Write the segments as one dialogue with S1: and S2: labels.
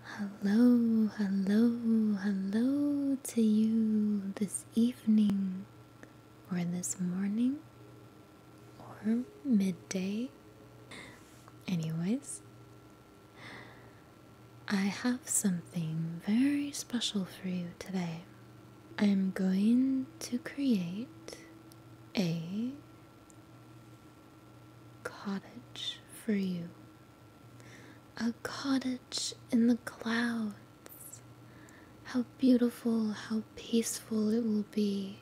S1: Hello, hello, hello to you this evening, or this morning, or midday. Anyways, I have something very special for you today. I'm going to create a cottage for you, a cottage in the clouds. How beautiful, how peaceful it will be,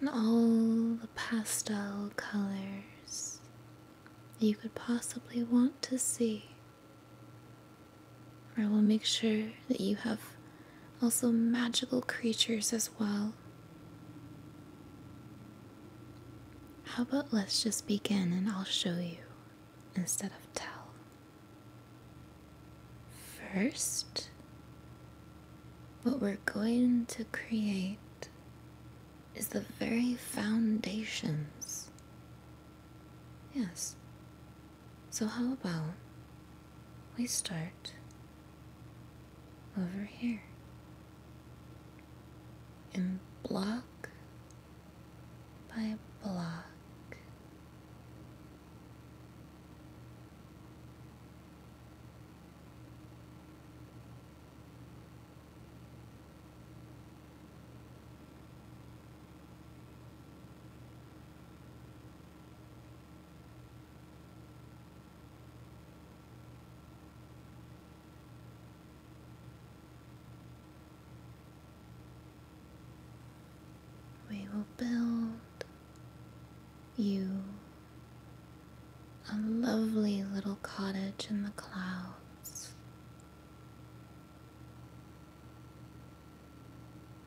S1: and all the pastel colors you could possibly want to see. I will make sure that you have also magical creatures as well how about let's just begin and I'll show you instead of tell? First, what we're going to create is the very foundations. Yes. So, how about we start over here In block by block. We will build you a lovely little cottage in the clouds.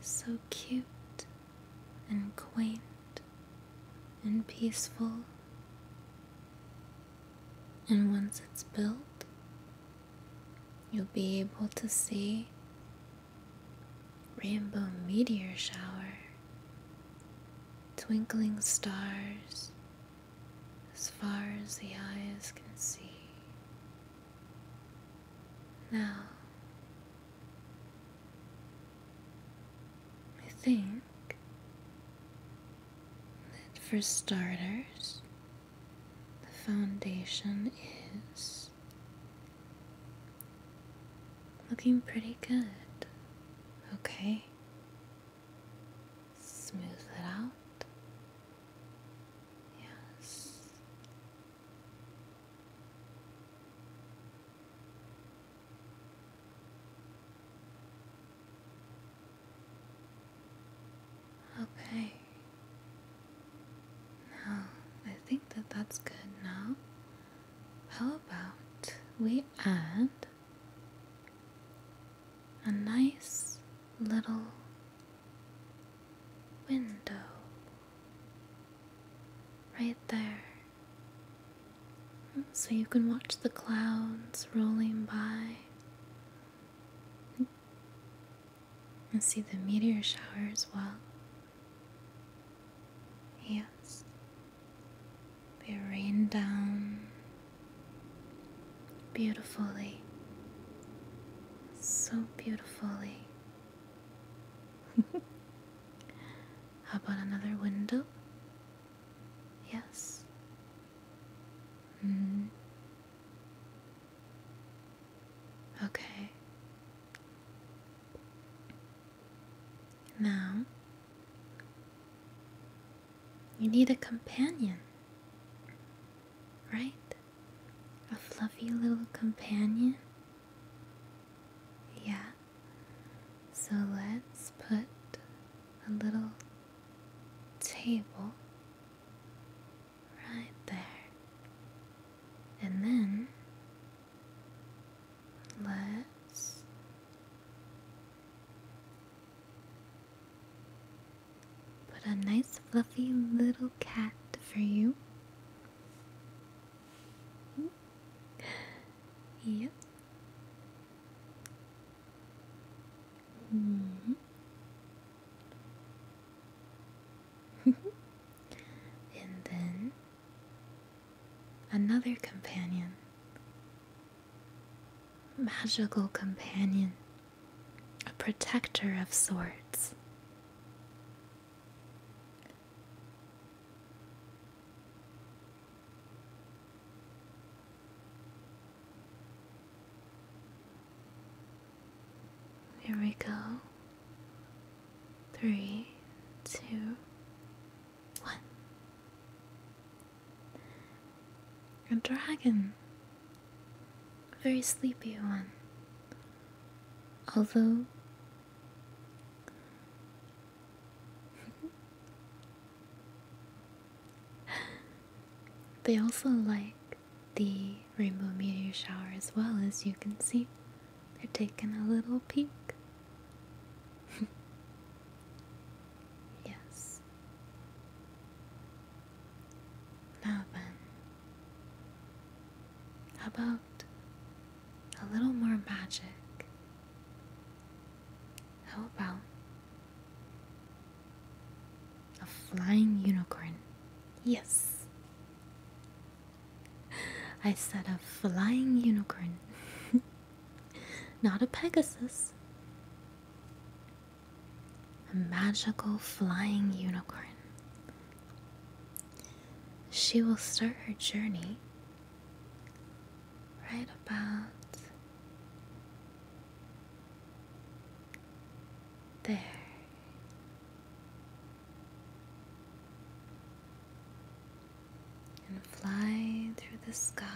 S1: So cute and quaint and peaceful. And once it's built, you'll be able to see rainbow meteor shower, twinkling stars, as far as the eyes can see. Now, I think that for starters, the foundation is looking pretty good. Okay? Smooth it out. Yes. Okay. Now, I think that that's good now. How about we add a nice little window right there. So you can watch the clouds rolling by and see the meteor shower as well. Yes, they rain down beautifully, so beautifully. How about another window? Yes. Mm. Okay. Now you need a companion, right? A fluffy little companion? Yeah. So let's put a little table right there. And then let's put a nice fluffy little cat for you. yep. Mm-hmm. and then another companion, magical companion, a protector of sorts. Here we go three, two, one. A dragon. very sleepy one. Although they also like the rainbow meteor shower as well as you can see they're taking a little peek. yes. Now then, about a little more magic? How about a flying unicorn? Yes. I said a flying unicorn, not a Pegasus. A magical flying unicorn. She will start her journey right about there and fly through the sky.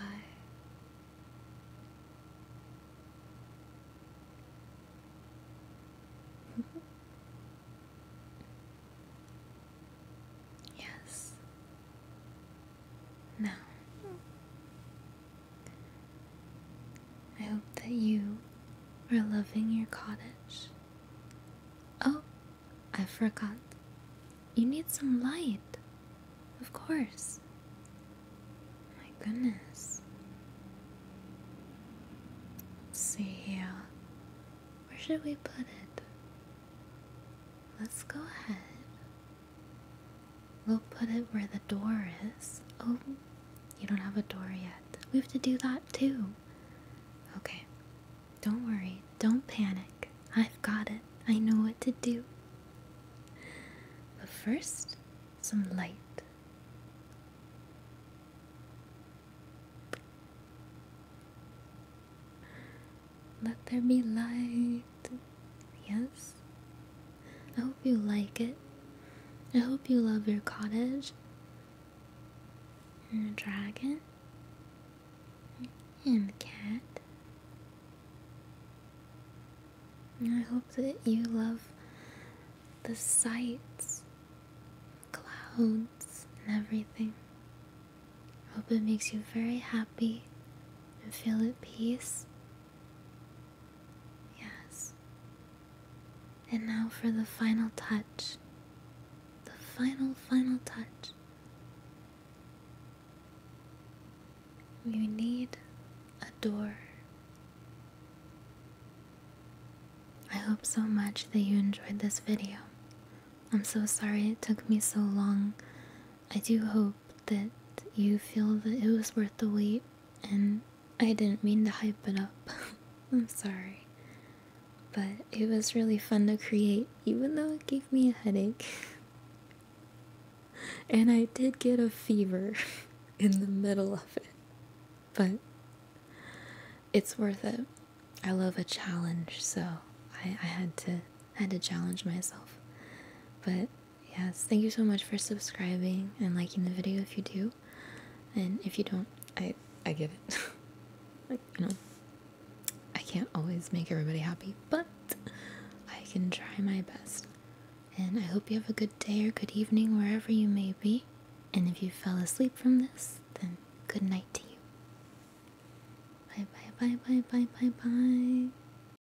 S1: yes. Now I hope that you are loving your cottage. Oh, I forgot. You need some light. Of course. My goodness. see here. Where should we put it? Let's go ahead. We'll put it where the door is. Oh, you don't have a door yet. We have to do that too. Okay. Don't worry. Don't panic. I've got it. I know what to do. But first, some light. Let there be light. Yes? I hope you like it. I hope you love your cottage and the dragon and the cat. And I hope that you love the sights, clouds, and everything. I hope it makes you very happy and feel at peace. Yes. And now for the final touch. The final, final touch. You need a door. I hope so much that you enjoyed this video. I'm so sorry it took me so long. I do hope that you feel that it was worth the wait and I didn't mean to hype it up. I'm sorry. But it was really fun to create, even though it gave me a headache. and I did get a fever in the middle of it. But it's worth it. I love a challenge, so I, I had to had to challenge myself. But Yes, thank you so much for subscribing and liking the video if you do. And if you don't, I I give it. like, you know, I can't always make everybody happy, but I can try my best. And I hope you have a good day or good evening wherever you may be. And if you fell asleep from this, then good night to you. Bye bye bye bye bye bye bye.